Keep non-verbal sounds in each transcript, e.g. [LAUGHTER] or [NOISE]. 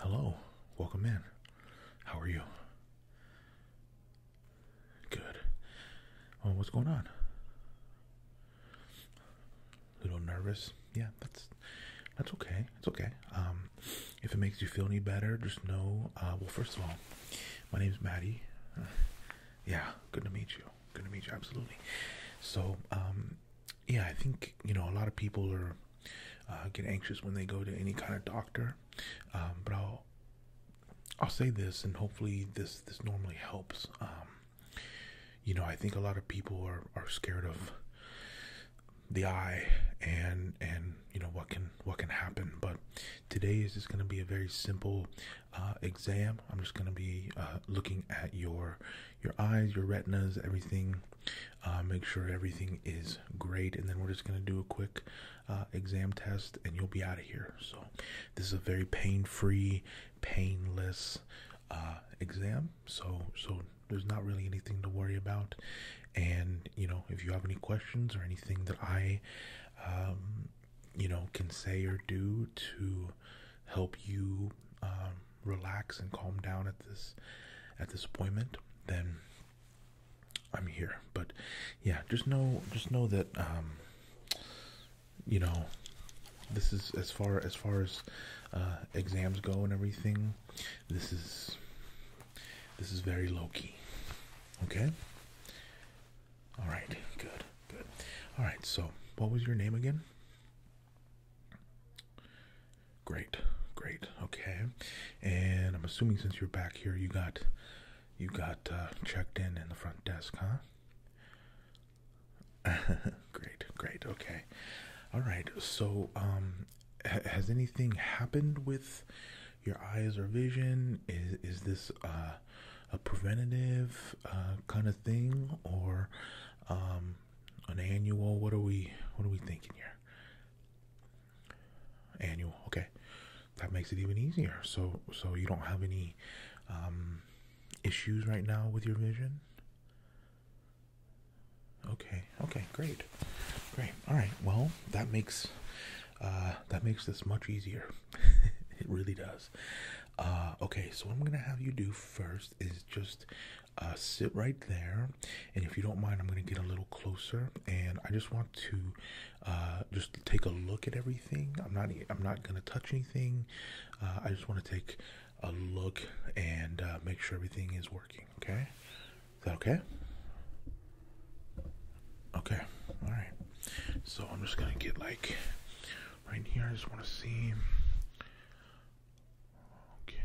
Hello, welcome in. How are you? Good. Well, oh, what's going on? A little nervous? Yeah, that's that's okay. It's okay. Um, if it makes you feel any better, just know. Uh, well, first of all, my name's Maddie. Uh, yeah, good to meet you. Good to meet you. Absolutely. So, um, yeah, I think you know a lot of people are uh, get anxious when they go to any kind of doctor, um, but I'll I'll say this, and hopefully this this normally helps. Um, you know, I think a lot of people are are scared of the eye and and you know what can what can happen but today is just going to be a very simple uh, exam i'm just going to be uh, looking at your your eyes your retinas everything uh, make sure everything is great and then we're just going to do a quick uh, exam test and you'll be out of here. So, this is a very pain free, painless uh, exam. So, so there's not really anything to worry about. And, you know, if you have any questions or anything that I, um, you know, can say or do to help you um, relax and calm down at this at this appointment, then I'm here. But yeah, just know just know that um, you know this is as far as far as uh, exams go and everything, this is this is very low key. Okay? Alright, good, good. Alright, so what was your name again? Great, great, okay. And I'm assuming since you're back here you got you got uh, checked in in the front desk, huh? [LAUGHS] great, great. Okay, all right. So, um, has anything happened with your eyes or vision? Is is this uh, a preventative uh, kind of thing, or um, an annual? What are we What are we thinking here? Annual. Okay, that makes it even easier. So, so you don't have any um, issues right now with your vision. Okay. Okay. Great. Great. All right. Well, that makes uh, that makes this much easier. [LAUGHS] it really does. Uh, okay. So I'm gonna have you do first is just uh, sit right there, and if you don't mind, I'm gonna get a little closer, and I just want to uh, just take a look at everything. I'm not I'm not gonna touch anything. Uh, I just want to take a look and uh, make sure everything is working. Okay, is that okay? Okay, all right. So I'm just gonna get like right here. I just want to see. Okay.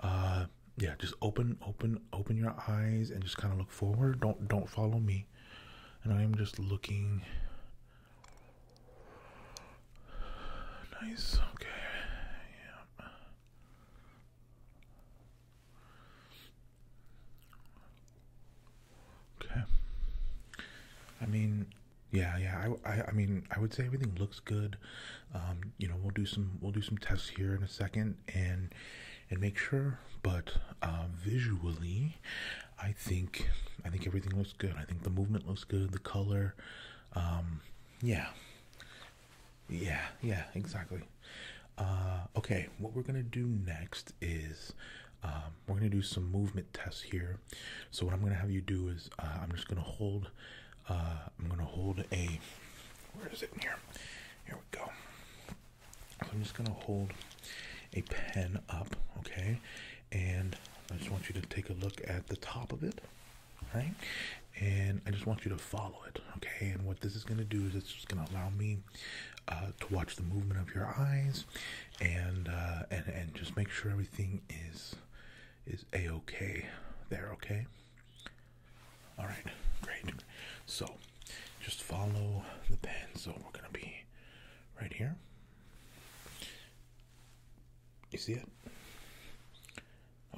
Uh, yeah. Just open, open, open your eyes and just kind of look forward don't don't follow me and i'm just looking nice okay yeah Okay. I mean, yeah, yeah. I, I, mean, I would say everything looks good. Um, you know, we'll do some, we'll do some tests here in a second, and and make sure. But uh, visually, I think I think everything looks good. I think the movement looks good. The color, um, yeah, yeah, yeah, exactly. Uh, okay, what we're gonna do next is. Um, we're going to do some movement tests here. So what I'm going to have you do is uh, I'm just going to hold, I'm going to hold a, where is it here? Here we go. I'm just going to hold a pen up, okay? And I just want you to take a look at the top of it, right? And I just want you to follow it, okay? And what this is going to do is it's just going to allow me uh, to watch the movement of your eyes, and uh, and and just make sure everything is is a okay there, okay? All right, great. So just follow the pen. So we're going to be right here. You see it?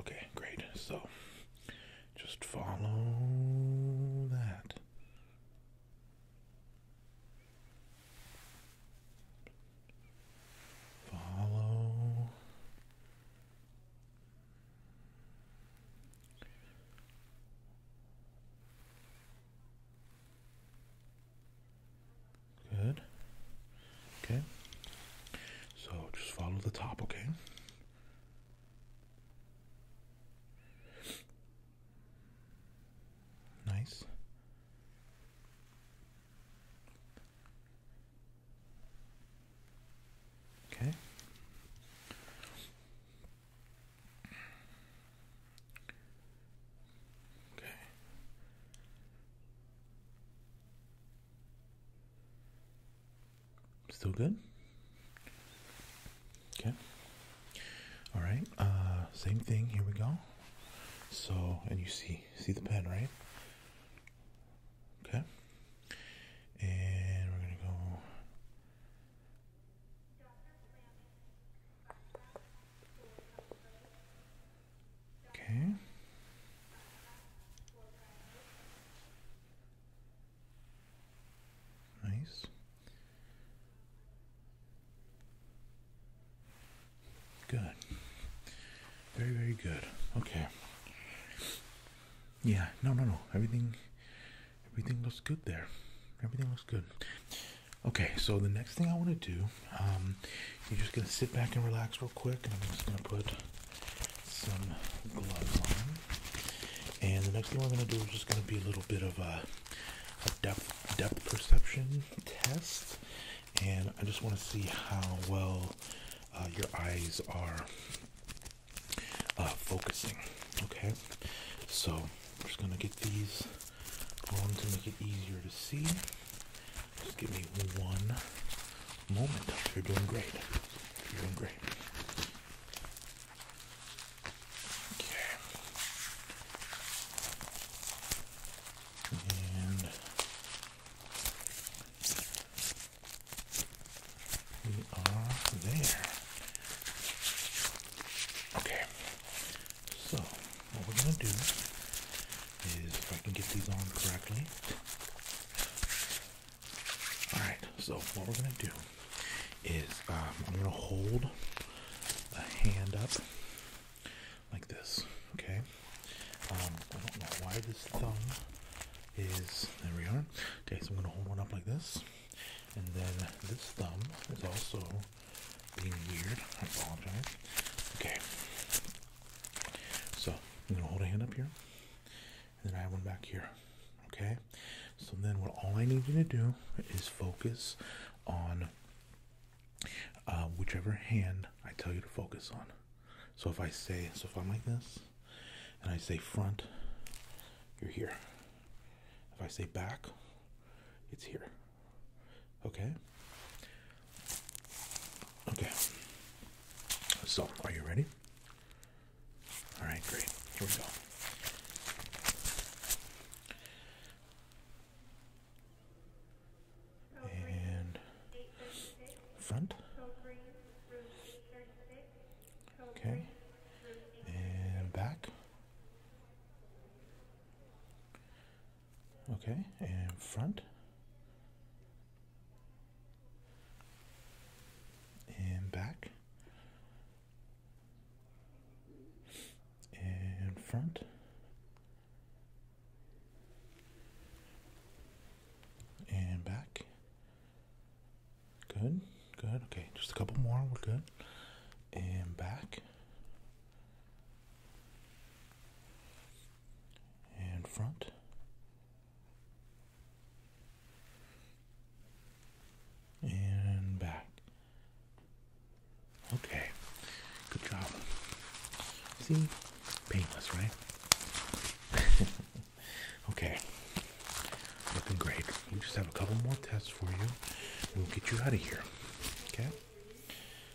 Okay, great. So just follow that. Follow Good. Okay. So just follow the top, okay? Nice. Okay. Okay. Still good? Okay. All right. Uh, same thing. Here we go. So, and you see, see the pen, right? Okay. And we're gonna go Okay. Nice. Good. Very, very good. Okay. Yeah, no, no, no. Everything everything looks good there. Everything looks good. Okay, so the next thing I want to do, um, you're just gonna sit back and relax real quick, and I'm just gonna put some gloves on. And the next thing I'm gonna do is just gonna be a little bit of a, depth depth perception test, and I just want to see how well uh, your eyes are uh, focusing. Okay, so I'm just gonna get these on to make it easier to see. Just give me one moment. You're doing great. You're doing great. Okay. And we are there. Okay, so what we're going to do is if I can get these on correctly. Alright, so what we're going to do is um, I'm going to hold a hand up like this, okay? Um, I don't know why this thumb is, there we are. Okay, so I'm going to hold one up like this. And then this thumb is also being weird. I apologize. Okay. So I'm gonna hold a hand up here. And then I have one back here. Okay? So then what all I need you to do is focus on uh, whichever hand I tell you to focus on. So if I say, so if I'm like this, and I say front, you're here. If I say back, it's here. Okay? Okay. So, are you ready? All right, great. Here we go. And front Okay, and back. Okay, and front. And back. And front. And back. Good, good. Okay, just a couple more. We're good. And back. And front. And back. Okay, good job. See, painless, right? [LAUGHS] okay. Looking great. We just have a couple more tests for you, and we'll get you out of here. Okay.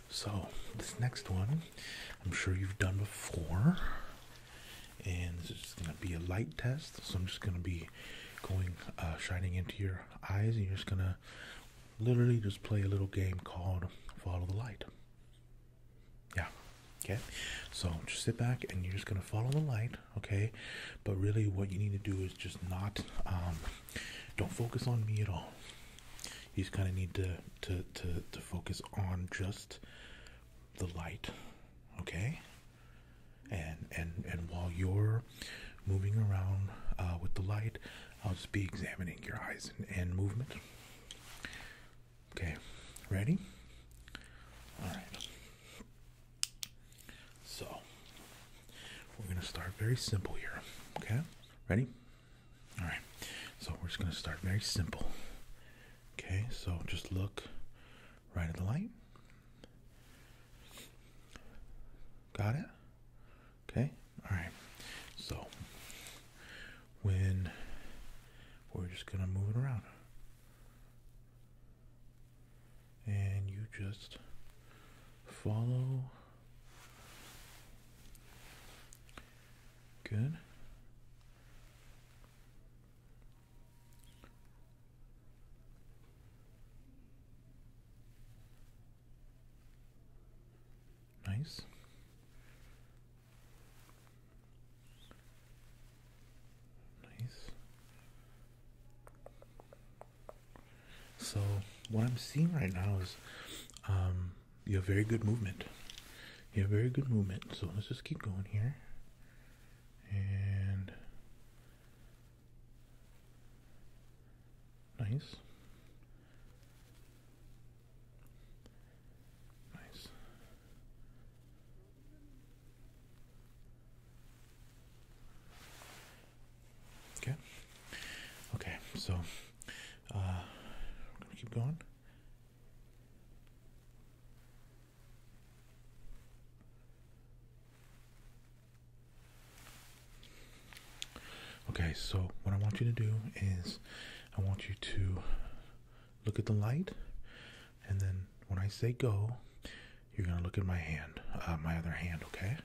So this next one, I'm sure you've done before, and this is gonna be a light test. So I'm just gonna be going uh, shining into your eyes, and you're just gonna literally just play a little game called follow the light. Yeah. Okay. So just sit back, and you're just gonna follow the light okay but really what you need to do is just not um, don't focus on me at all you just kind of need to, to to to focus on just the light okay and and and while you're moving around uh with the light i'll just be examining your eyes and, and movement okay ready all right so we're going to start very simple here. Okay? Ready? All right. So we're just going to start very simple. Okay? So just look right at the light. Got it? Okay? All right. So when we're just going to move it around and you just follow. Good. Nice. Nice. So what I'm seeing right now is um, you have very good movement. You have very good movement. So let's just keep going here. And nice. Nice. Okay. Okay. So, uh, keep going. Okay, so what I want you to do is I want you to look at the light, and then when I say go, you're gonna look at my hand, uh, my other hand, okay?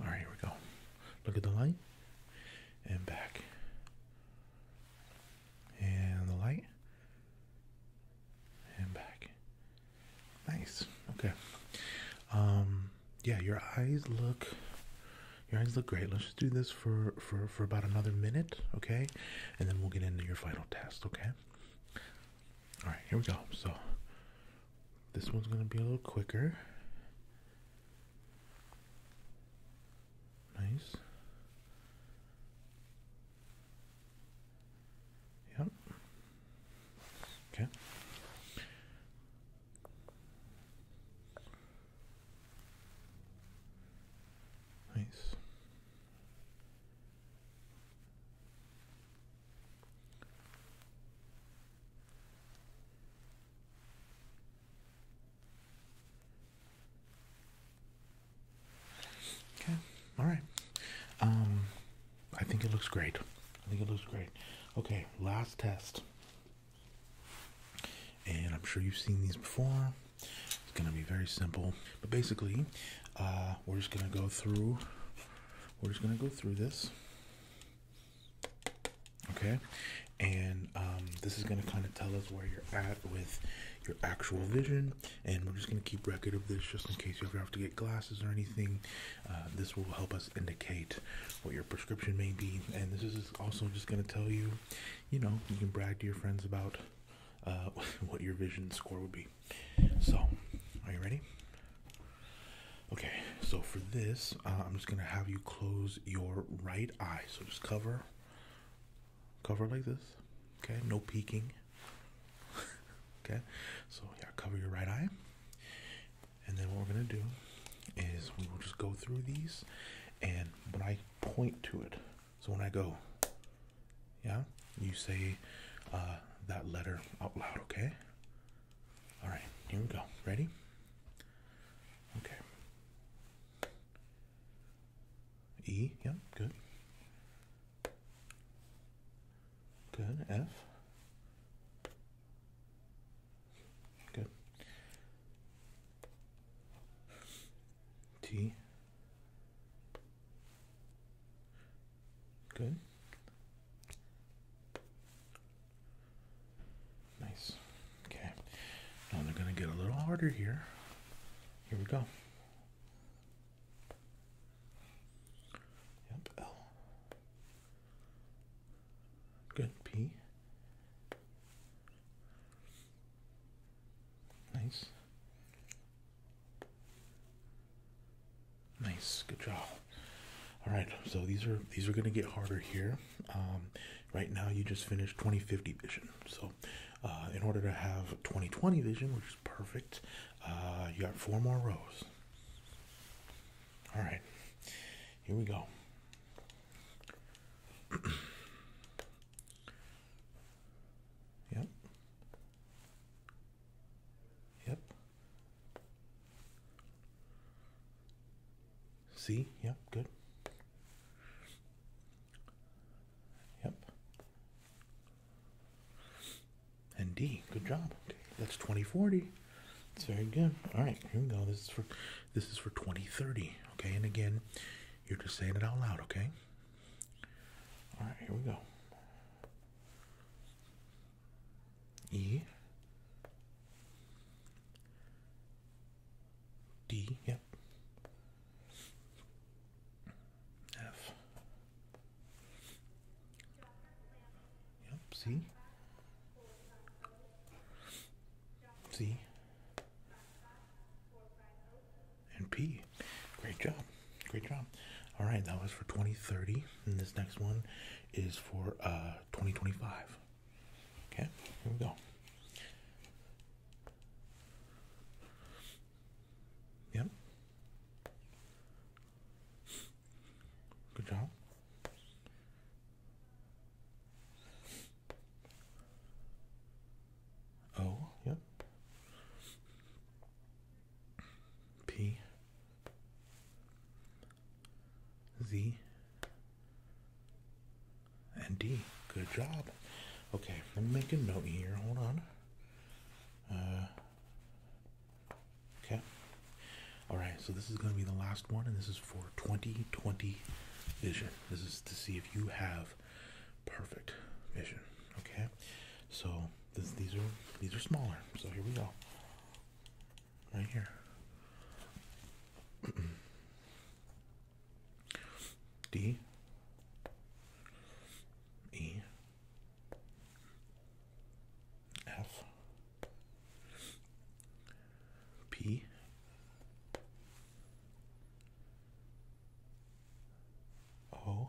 All right, here we go. Look at the light and back, and the light and back. Nice. Okay. Um. Yeah, your eyes look. Your eyes look great. Let's just do this for for for about another minute, okay? And then we'll get into your final test, okay? All right, here we go. So this one's going to be a little quicker. Nice. Yep. Okay. Nice. Okay, all right. Um, I think it looks great. I think it looks great. Okay, last test. And I'm sure you've seen these before. It's gonna be very simple, but basically, uh, we're just gonna go through we're just going to go through this. Okay, and um, this is going to kind of tell us where you're at with your actual vision, and we're just going to keep record of this just in case you ever have to get glasses or anything. Uh, this will help us indicate what your prescription may be, and this is also just going to tell you, you know, you can brag to your friends about uh, [LAUGHS] what your vision score would be. So, are you ready? Okay, so for this, uh, I'm just gonna have you close your right eye. So just cover, cover like this. Okay, no peeking. [LAUGHS] okay, so yeah, cover your right eye. And then what we're gonna do is we will just go through these, and when I point to it, so when I go yeah? You say uh, that letter out loud, okay? Alright, here we go. Ready? Okay. E, yep, good. Good. F. Good. T. Good. Nice. Okay. Now they're going to get a little harder here. Here we go. Yep, L. Good, P. Nice. Nice, good job. All right, so these are these are gonna get harder here. Um, right now, you just finished 2050 vision, so uh, in order to have 2020 vision, which is perfect, uh, you got four more rows. All right, here we go. [CLEARS THROAT] yep. Yep. See? Yep, good. Yep. And D, good job. Okay, that's 2040. It's very good. All right, here we go. This is for this is for 2030. Okay, and again, you're just saying it out loud, okay? All right, here we go. E D, yep. F. Yep, C. C. And P. Great job. Great job. All right, that was for 2030, and this next one is for uh 2025. Okay, here we go. Yep. Good job. Oh, yep. P Z and D. Good job. Okay, let me make a note here. Hold on. Uh, okay. All right. So this is going to be the last one, and this is for 2020 vision. This is to see if you have perfect vision. Okay. So these are these are smaller. So here we go. Right here. [CLEARS THROAT] D E F P O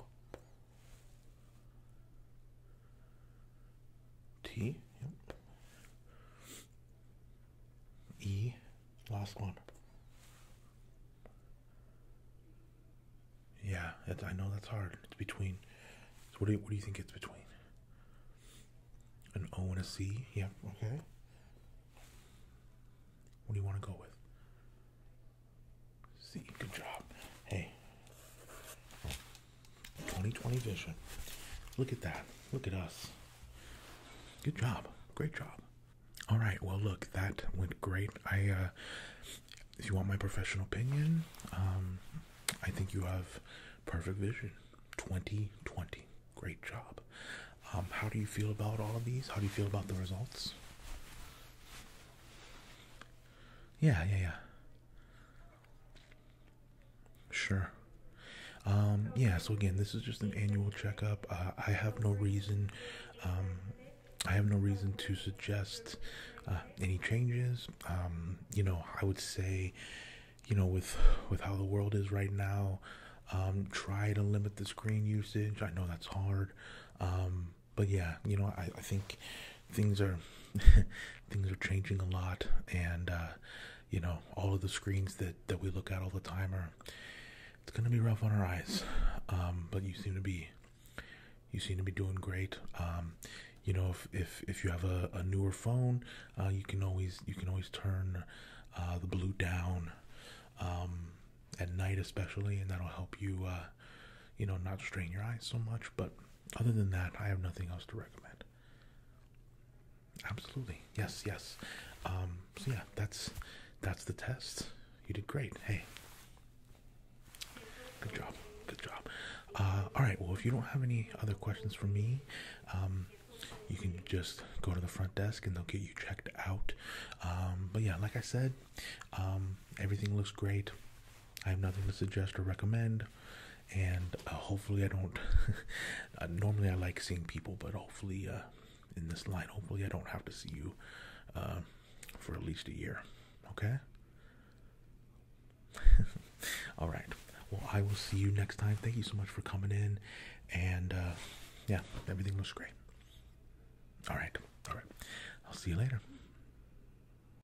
T. E. Last one. Yeah, I know that's hard. It's between. what do you, what do you think it's between? An O and a C. Yeah. Okay. What do you want to go with? See, good job. Hey, 2020 vision. Look at that. Look at us. Good job. Great job. All right. Well, look, that went great. I, uh, if you want my professional opinion, um, I think you have perfect vision. 2020. Great job. Um, how do you feel about all of these? How do you feel about the results? Yeah, yeah, yeah. Sure. Um, yeah, so again, this is just an annual checkup. Uh, I have no reason, um, I have no reason to suggest uh, any changes. Um, you know, I would say, you know, with with how the world is right now, try to limit the screen usage. I know that's hard but yeah, you know, I, I think things are [LAUGHS] things are changing a lot, and uh, you know, all of the screens that that we look at all the time are it's gonna be rough on our eyes. Um, but you seem to be you seem to be doing great. Um, you know, if if if you have a, newer phone, uh, you can always you can always turn uh, the blue down um, at night, especially, and that'll help you you know, not strain your eyes so much. But other than that, I have nothing else to recommend. Absolutely, yes, yes. Um, so yeah, that's that's the test. You did great. Hey, good job, good job. Uh, all right. Well, if you don't have any other questions for me, um, you can just go to the front desk and they'll get you checked out. Um, but yeah, like I said, um, everything looks great. I have nothing to suggest or recommend, and uh, hopefully I don't. [LAUGHS] Uh, normally I like seeing people, but hopefully uh, in this line, hopefully I don't have to see you for at least a year. Okay. [LAUGHS] All right. Well, I will see you next time. Thank you so much for coming in, and yeah, everything looks great. All right. All right. I'll see you later.